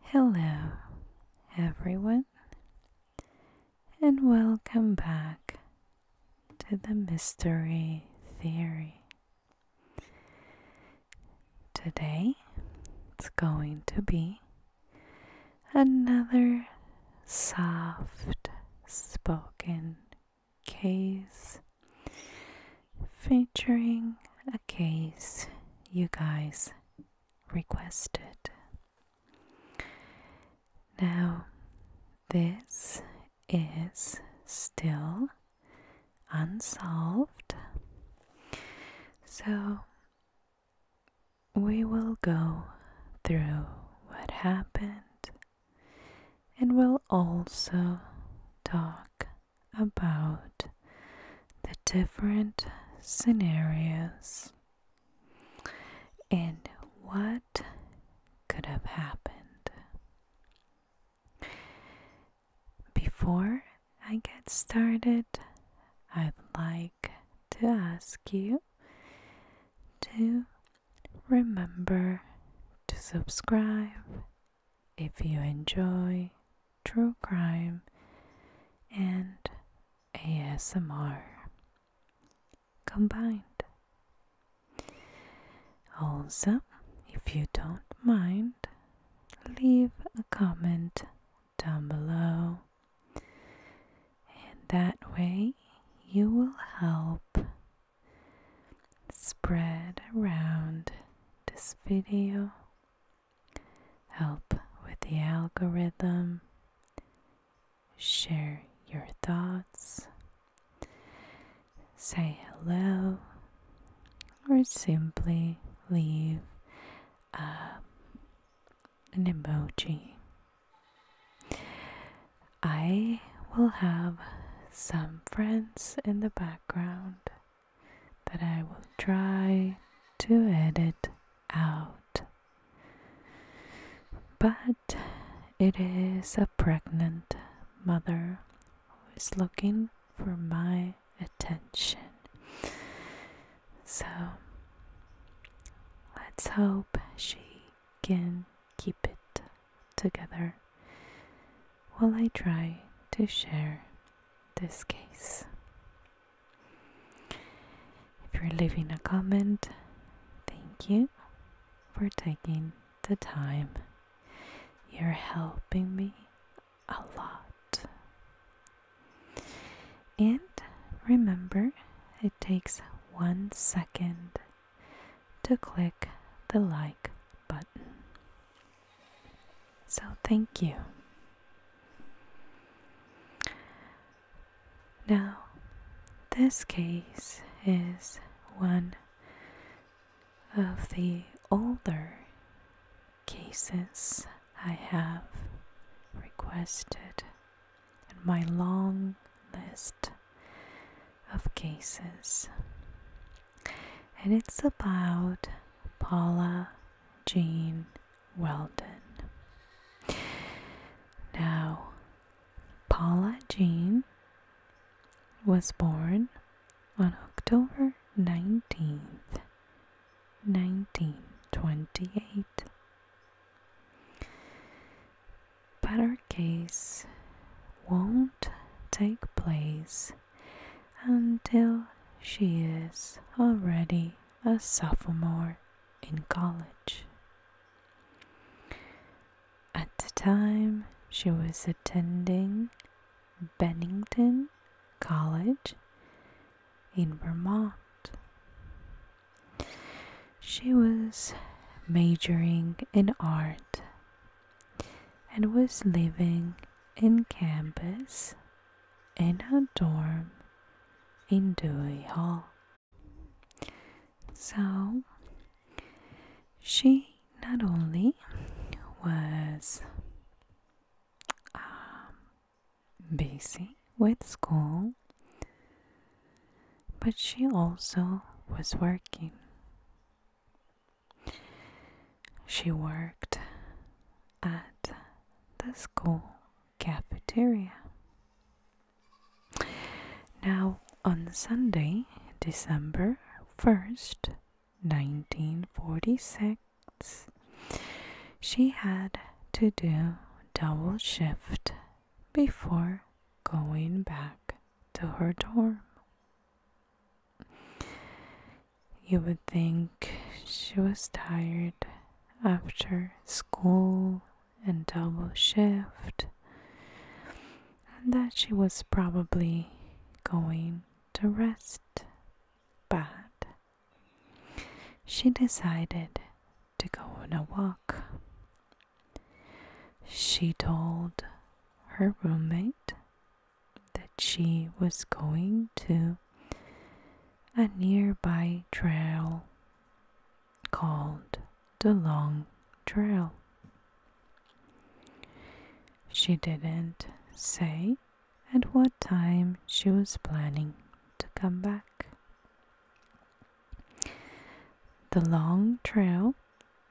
Hello, everyone, and welcome back to the Mystery Theory. Today it's going to be another soft spoken case featuring a case you guys requested. Now, this is still unsolved, so we will go through what happened and we'll also talk about the different scenarios and what could have happened. Before I get started, I'd like to ask you to remember to subscribe if you enjoy true crime, and ASMR combined. Also, if you don't mind, leave a comment down below, and that way you will help spread around this video help with the algorithm, share your thoughts, say hello, or simply leave uh, an emoji. I will have some friends in the background that I will try to edit out. But it is a pregnant mother who is looking for my attention. So let's hope she can keep it together while I try to share this case. If you're leaving a comment, thank you for taking the time. You're helping me a lot. And remember, it takes one second to click the like button. So thank you. Now, this case is one of the older cases I have requested in my long list of cases. And it's about Paula Jean Weldon. Now, Paula Jean was born on October 19th, 1928. But our case won't take place until she is already a sophomore in college. At the time, she was attending Bennington College in Vermont. She was majoring in art and was living in campus in a dorm in Dewey Hall. So she not only was um, busy with school, but she also was working. She worked at the school cafeteria. Now, on Sunday, December 1st, 1946, she had to do double shift before going back to her dorm. You would think she was tired after school and double shift, and that she was probably going to rest. But she decided to go on a walk. She told her roommate that she was going to a nearby trail called the Long Trail. She didn't say at what time she was planning to come back. The Long Trail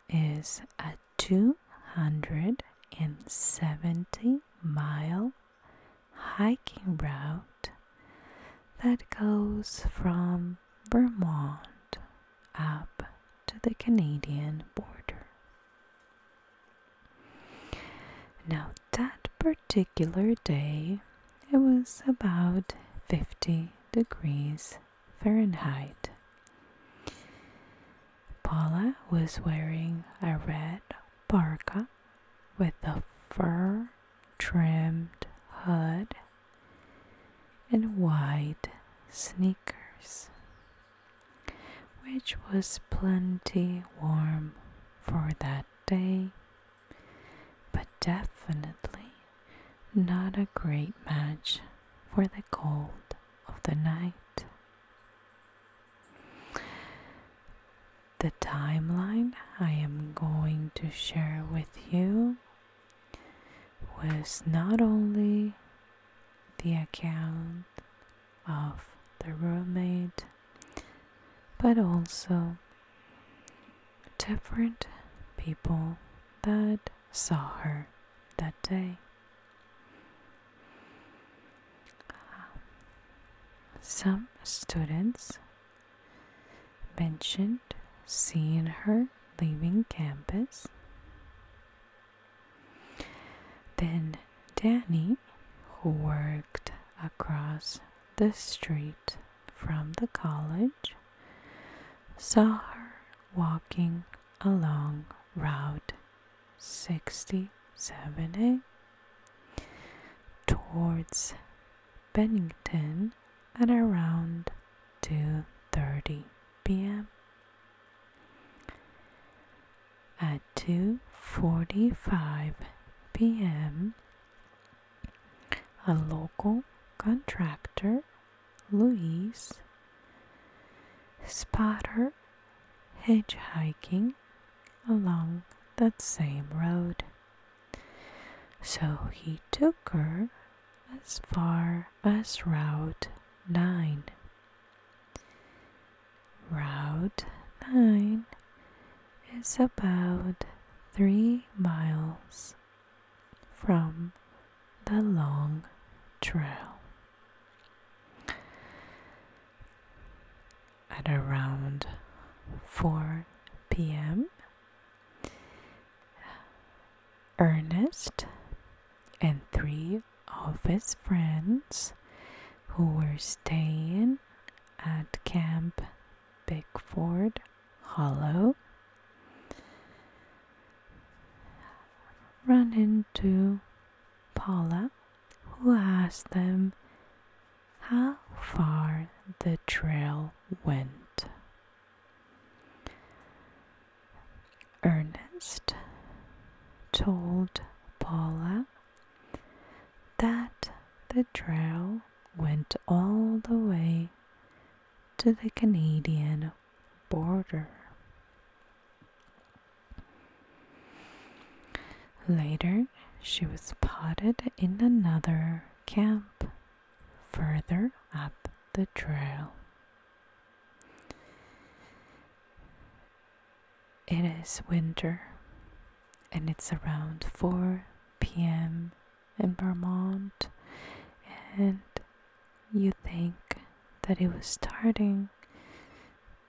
is a 270 mile hiking route that goes from Vermont up to the Canadian border. Now, that particular day, it was about 50 degrees Fahrenheit. Paula was wearing a red parka with a fur trimmed hood and wide sneakers, which was plenty warm for that day, but definitely not a great match for the cold of the night the timeline I am going to share with you was not only the account of the roommate but also different people that saw her that day. Some students mentioned seeing her leaving campus. Then Danny, who worked across the street from the college, saw her walking along Route 60, 70 towards Bennington at around 2:30 p.m. At 2:45 p.m., a local contractor, Louise, spotted her hitchhiking along that same road. So he took her as far as Route 9. Route 9 is about 3 miles from the long trail at around 4 p.m. Ernest and three of his friends who were staying at Camp Bigford Hollow ran into Paula who asked them how far the trail went. Ernest told Paula that the trail went all the way to the Canadian border. Later, she was potted in another camp further up the trail. It is winter and it's around 4 p.m. in Vermont, and you think that it was starting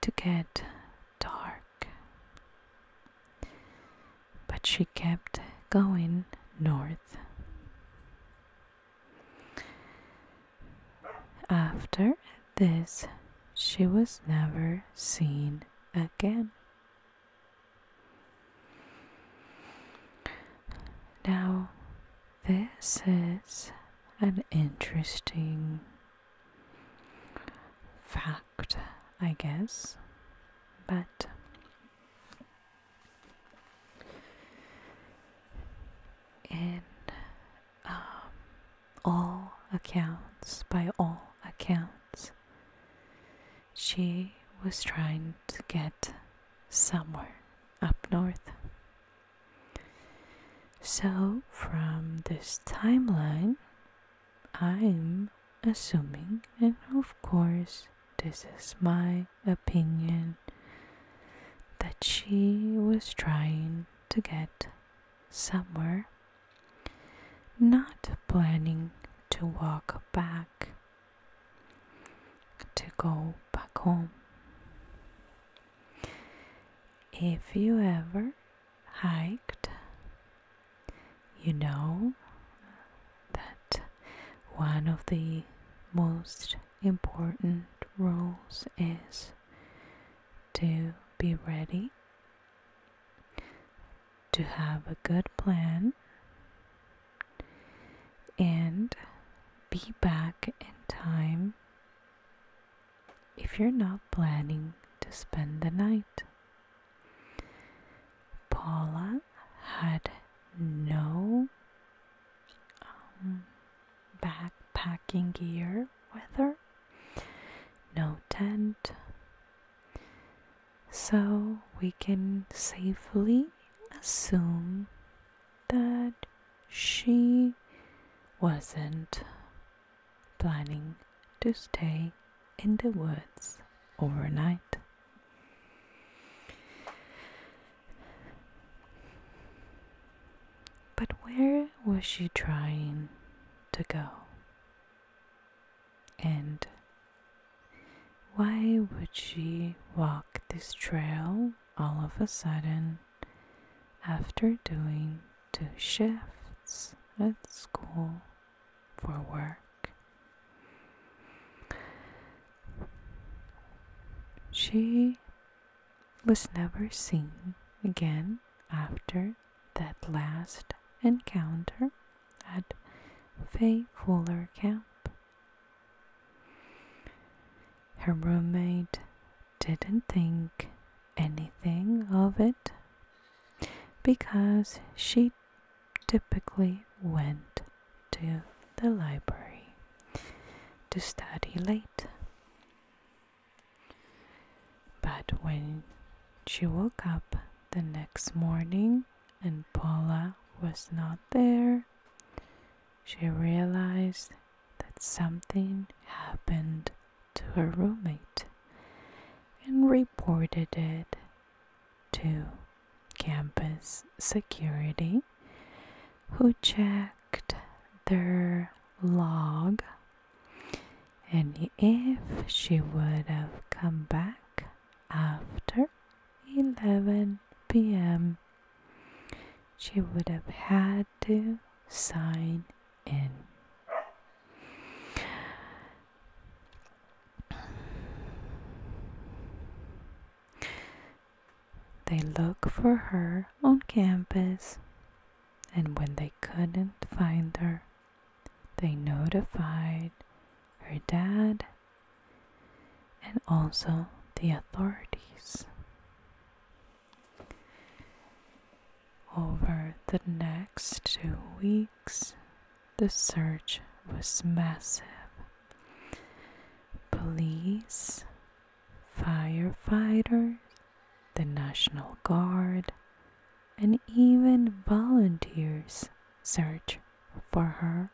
to get dark. But she kept going north. After this, she was never seen again. Now, this is an interesting fact. I guess, but in um, all accounts, by all accounts, she was trying to get somewhere up north. So, from this timeline, I'm assuming, and of course, this is my opinion, that she was trying to get somewhere, not planning to walk back, to go back home. If you ever hiked, you know that one of the most important rules is to be ready, to have a good plan, and be back in time if you're not planning to spend the night. Paula had no um, backpacking gear with her, no tent. So we can safely assume that she wasn't planning to stay in the woods overnight. But where was she trying to go? And why would she walk this trail all of a sudden after doing to shifts at school for work. She was never seen again after that last encounter at Fay Fuller Camp. Her roommate didn't think anything of it because she typically went to the library to study late. But when she woke up the next morning and Paula was not there, she realized that something happened to her roommate and reported it to campus security, who checked their log and if she would have come back after 11 p.m., she would have had to sign they looked for her on campus, and when they couldn't find her, they notified her dad and also the authorities. Over the next two weeks, the search was massive. Police, firefighters, the National Guard, and even volunteers searched for her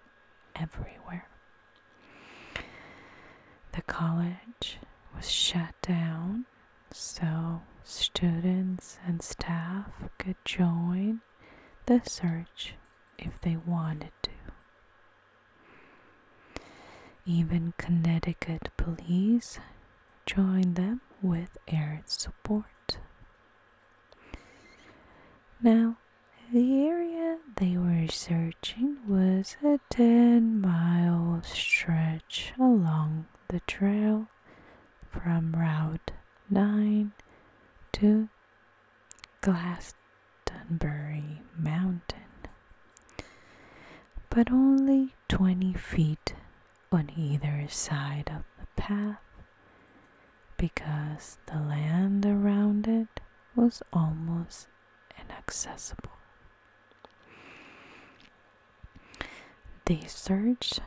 everywhere. The college was shut down so students and staff could join the search if they wanted to. Even Connecticut police joined them with air support. Now, the area they were searching was a 10 mile stretch along the trail from Route 9 to Glastonbury Mountain, but only 20 feet on either side of the path because the land around it was almost inaccessible. They searched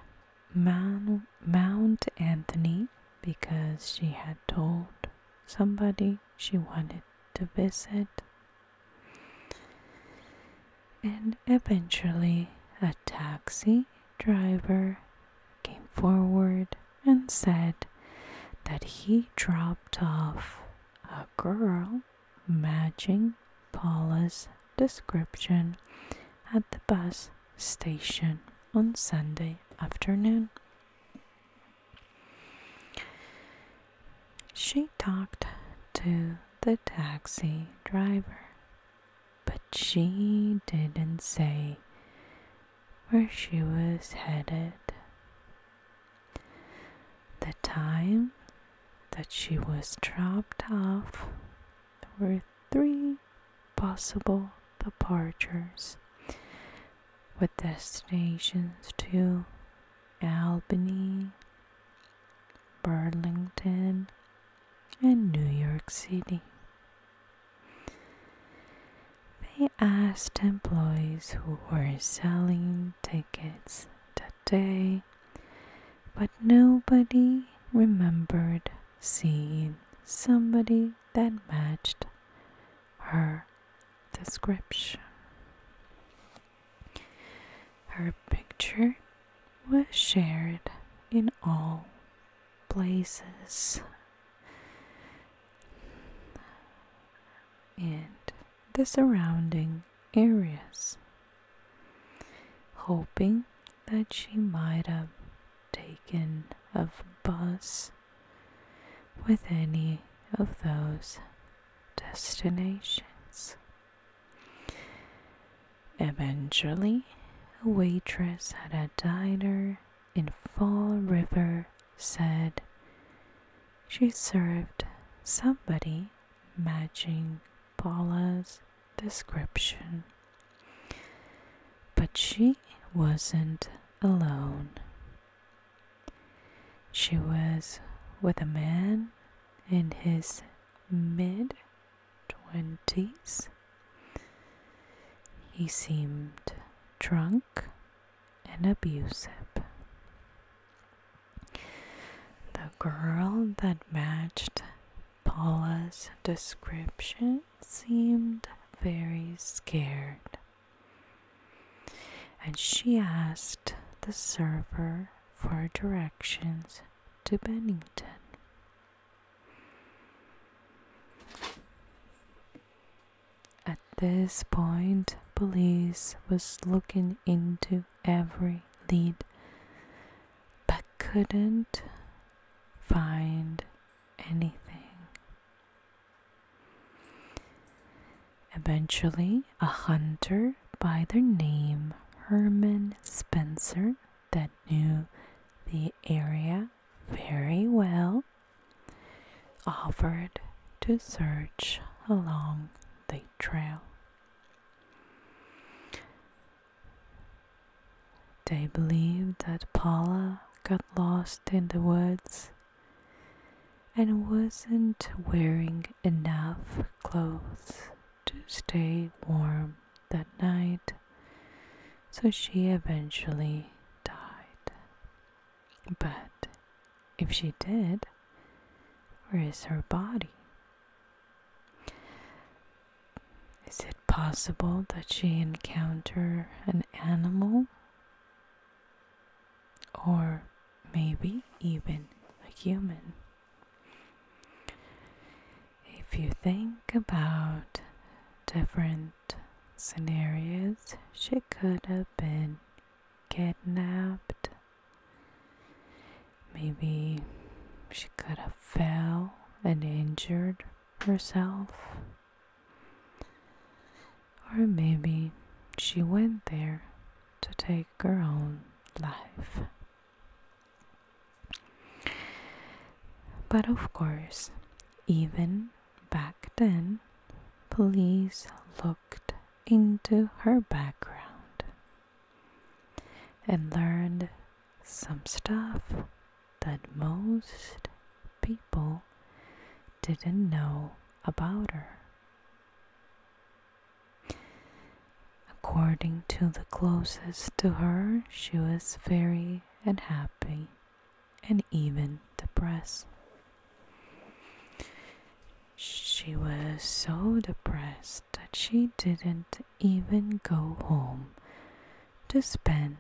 Mount Anthony because she had told somebody she wanted to visit. And eventually, a taxi driver came forward and said that he dropped off a girl matching Paula's description at the bus station on Sunday afternoon. She talked to the taxi driver, but she didn't say where she was headed. The time that she was dropped off there were three possible departures with destinations to Albany, Burlington, and New York City. They asked employees who were selling tickets that day but nobody remembered seeing somebody that matched her description. Her picture was shared in all places. And the surrounding areas hoping that she might have taken a bus with any of those destinations. Eventually, a waitress at a diner in Fall River said she served somebody matching Paula's description. But she wasn't alone. She was with a man in his mid 20s. He seemed drunk and abusive. The girl that matched Paula's description seemed very scared, and she asked the server for directions to Bennington. At this point, police was looking into every lead but couldn't find anything. Eventually, a hunter by the name Herman Spencer, that knew the area very well, offered to search along the trail. They believe that Paula got lost in the woods and wasn't wearing enough clothes to stay warm that night, so she eventually died. But if she did, where is her body? Is it possible that she encounter an animal? Or maybe even a human? If you think about different scenarios, she could have been kidnapped. Maybe she could have fell and injured herself. Or maybe she went there to take her own life. But of course, even back then, police looked into her background and learned some stuff that most people didn't know about her. According to the closest to her, she was very unhappy and even depressed. She was so depressed that she didn't even go home to spend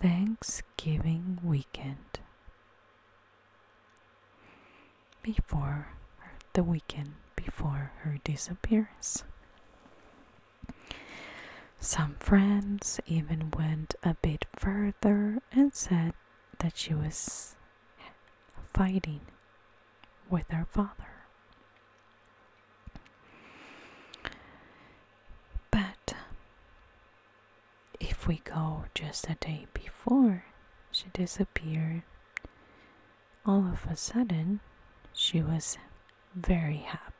Thanksgiving weekend before the weekend before her disappearance. Some friends even went a bit further and said that she was fighting with her father. But if we go just a day before she disappeared, all of a sudden she was very happy.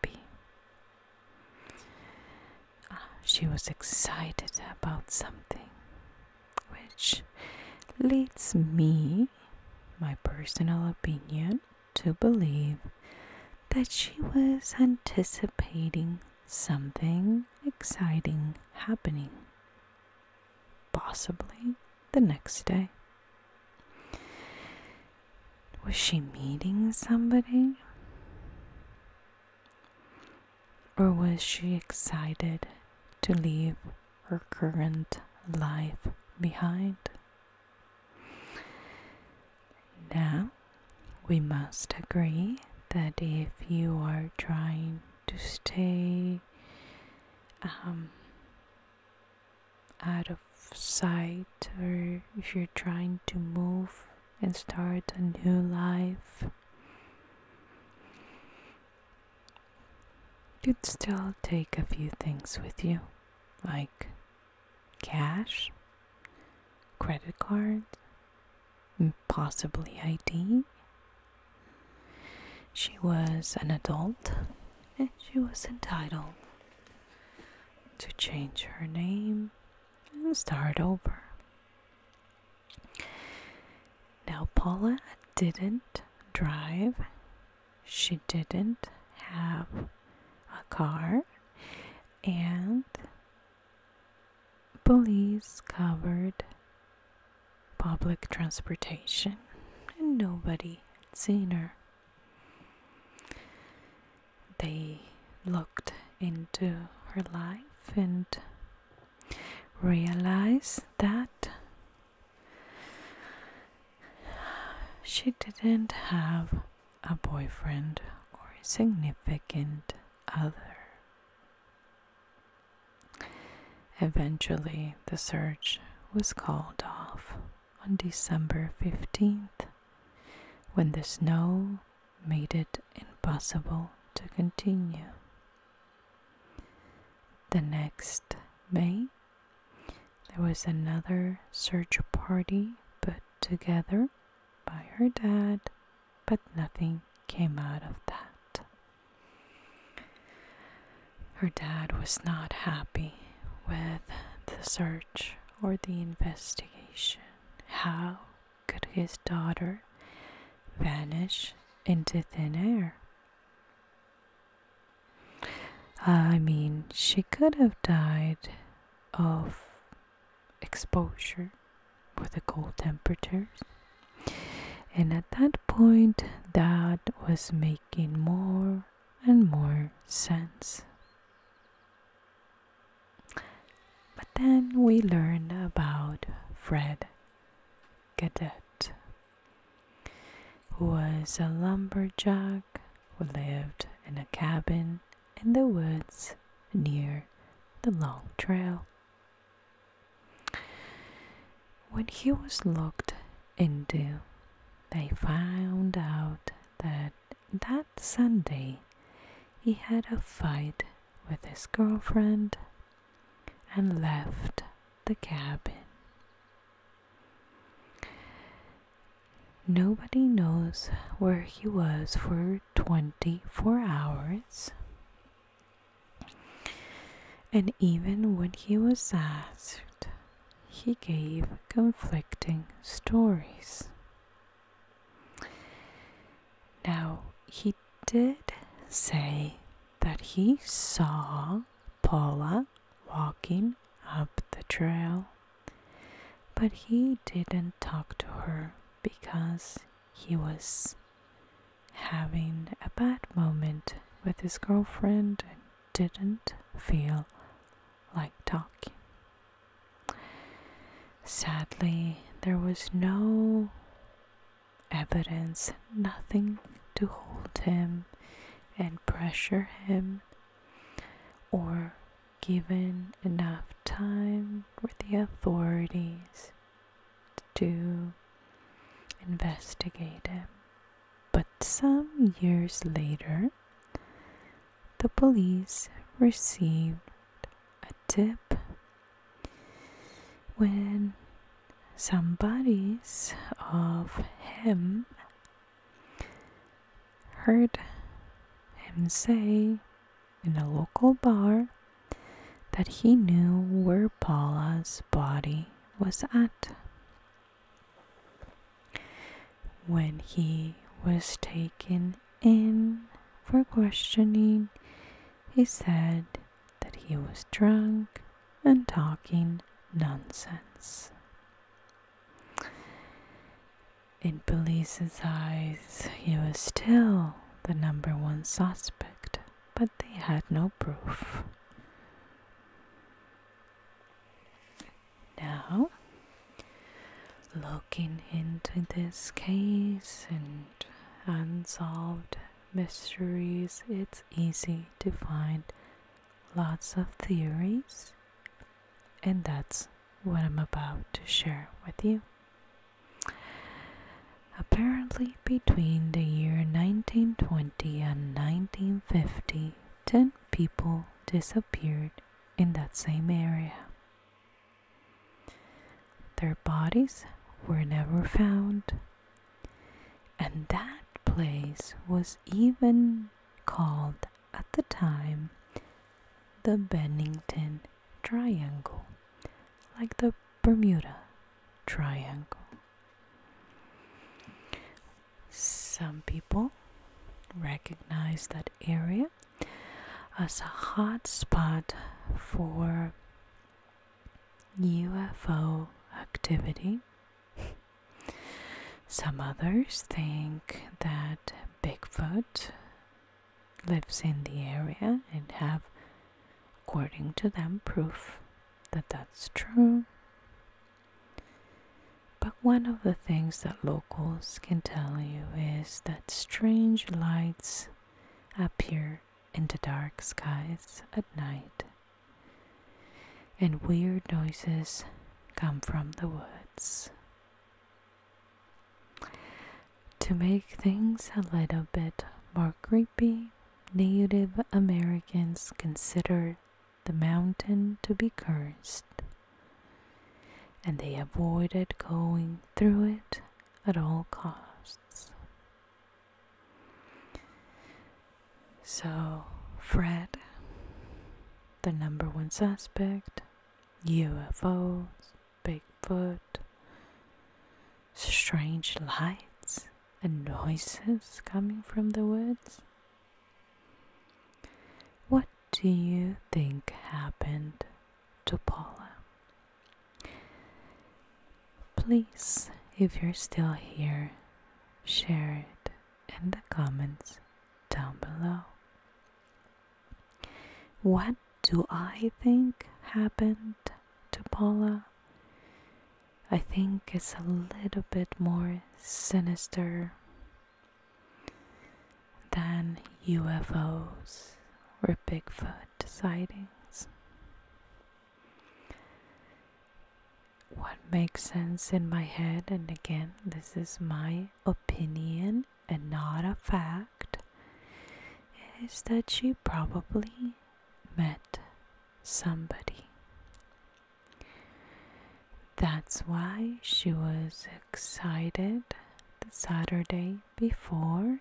she was excited about something, which leads me, my personal opinion, to believe that she was anticipating something exciting happening, possibly the next day. Was she meeting somebody? Or was she excited to leave her current life behind? Now, we must agree that if you are trying to stay um, out of sight or if you're trying to move and start a new life, you'd still take a few things with you like cash, credit card, possibly ID. She was an adult and she was entitled to change her name and start over. Now, Paula didn't drive, she didn't have a car and police covered public transportation and nobody had seen her. They looked into her life and realized that She didn't have a boyfriend or a significant other. Eventually, the search was called off on December 15th when the snow made it impossible to continue. The next May, there was another search party put together by her dad, but nothing came out of that. Her dad was not happy with the search or the investigation. How could his daughter vanish into thin air? Uh, I mean, she could have died of exposure with the cold temperatures. And at that point, that was making more and more sense. But then we learn about Fred Cadet was a lumberjack who lived in a cabin in the woods near the long trail. When he was looked into, they found out that that Sunday he had a fight with his girlfriend and left the cabin. Nobody knows where he was for 24 hours. And even when he was asked, he gave conflicting stories. Now, he did say that he saw Paula walking up the trail. But he didn't talk to her because he was having a bad moment with his girlfriend and didn't feel like talking. Sadly, there was no evidence, nothing to hold him and pressure him or given enough time for the authorities to investigate him. But some years later, the police received a tip when some bodies of him heard him say in a local bar that he knew where Paula's body was at. When he was taken in for questioning, he said that he was drunk and talking nonsense. In police's eyes, he was still the number one suspect, but they had no proof. Now, looking into this case and unsolved mysteries, it's easy to find lots of theories, and that's what I'm about to share with you. Apparently, between the year 1920 and 1950, 10 people disappeared in that same area. Their bodies were never found, and that place was even called at the time the Bennington Triangle, like the Bermuda Triangle. Some people recognize that area as a hot spot for UFO activity some others think that Bigfoot lives in the area and have, according to them, proof that that's true. But one of the things that locals can tell you is that strange lights appear in the dark skies at night and weird noises come from the woods. To make things a little bit more creepy, Native Americans considered the mountain to be cursed, and they avoided going through it at all costs. So, Fred, the number one suspect, UFOs, Bigfoot, strange lights and noises coming from the woods. What do you think happened to Paula? Please, if you're still here, share it in the comments down below. What do I think happened to Paula? I think it's a little bit more sinister than UFOs or Bigfoot sightings what makes sense in my head, and again, this is my opinion and not a fact, is that she probably met somebody. That's why she was excited the Saturday before.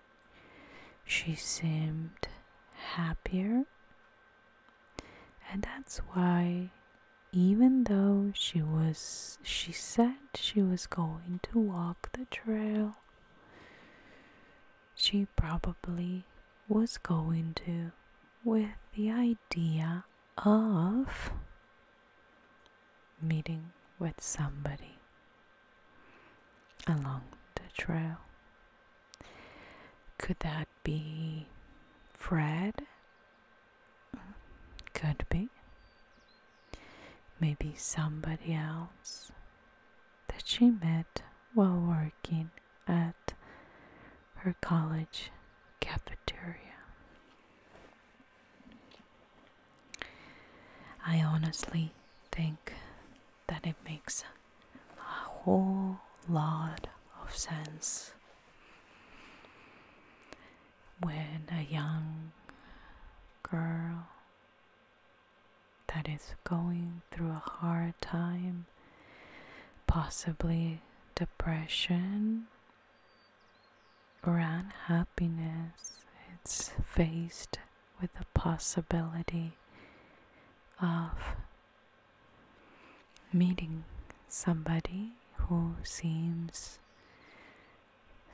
She seemed happier and that's why even though she was she said she was going to walk the trail she probably was going to with the idea of meeting with somebody along the trail could that be Fred? Could be. Maybe somebody else that she met while working at her college cafeteria. I honestly think that it makes a whole lot of sense when a young girl that is going through a hard time, possibly depression or unhappiness, it's faced with the possibility of meeting somebody who seems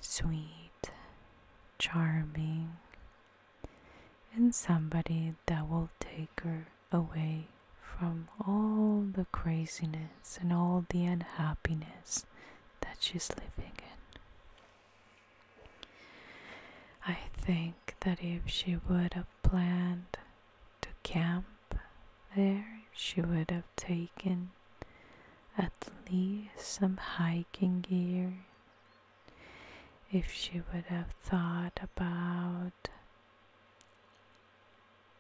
sweet, charming, and somebody that will take her away from all the craziness and all the unhappiness that she's living in. I think that if she would have planned to camp there she would have taken at least some hiking gear if she would have thought about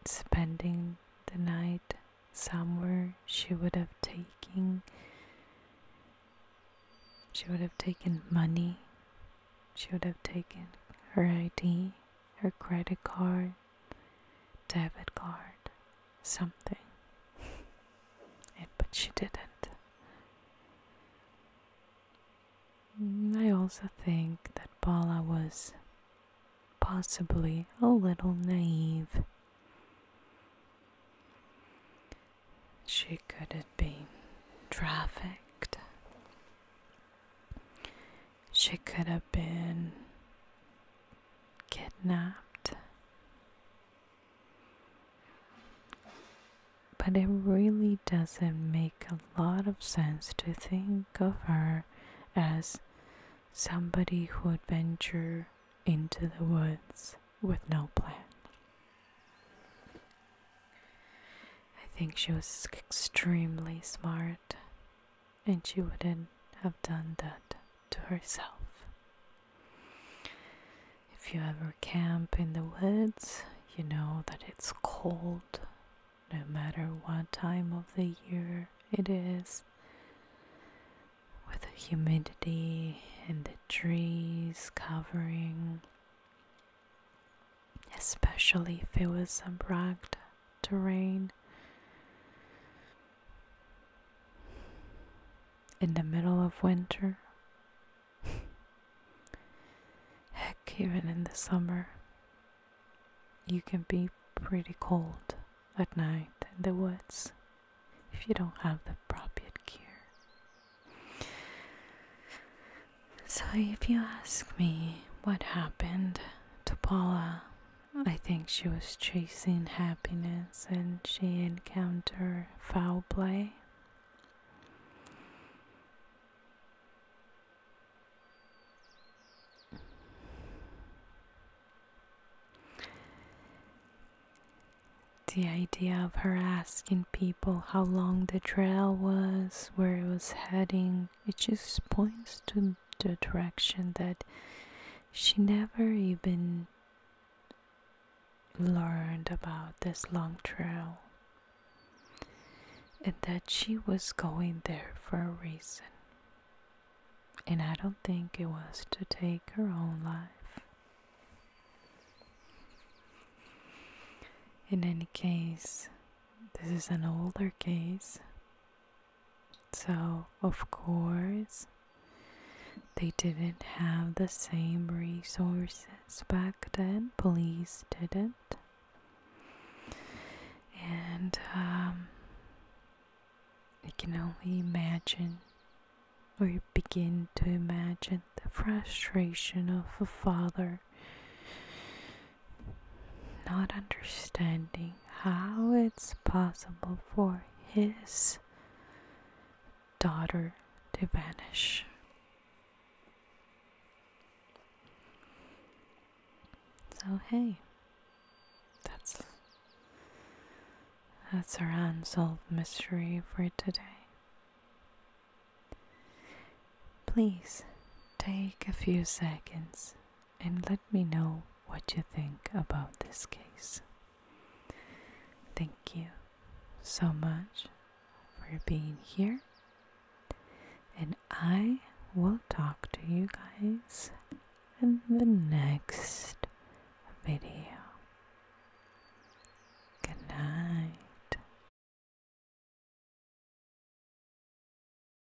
spending the night somewhere she would have taken she would have taken money she would have taken her id her credit card debit card, something. but she didn't. Mm, I also think that Paula was possibly a little naive. She could have been trafficked. She could have been kidnapped. But it really doesn't make a lot of sense to think of her as somebody who would venture into the woods with no plan. I think she was extremely smart and she wouldn't have done that to herself. If you ever camp in the woods, you know that it's cold no matter what time of the year it is. With the humidity and the trees covering, especially if it was abrupt to rain. In the middle of winter. Heck, even in the summer, you can be pretty cold at night in the woods if you don't have the appropriate gear. So, if you ask me what happened to Paula I think she was chasing happiness and she encountered foul play. The idea of her asking people how long the trail was, where it was heading, it just points to the direction that she never even learned about this long trail and that she was going there for a reason. And I don't think it was to take her own life. In any case, this is an older case so, of course, they didn't have the same resources back then, police didn't. And I um, can only imagine or begin to imagine the frustration of a father not understanding how it's possible for his daughter to vanish. So hey, that's that's our unsolved mystery for today. Please take a few seconds and let me know what you think about this case. Thank you so much for being here, and I will talk to you guys in the next video. Good night.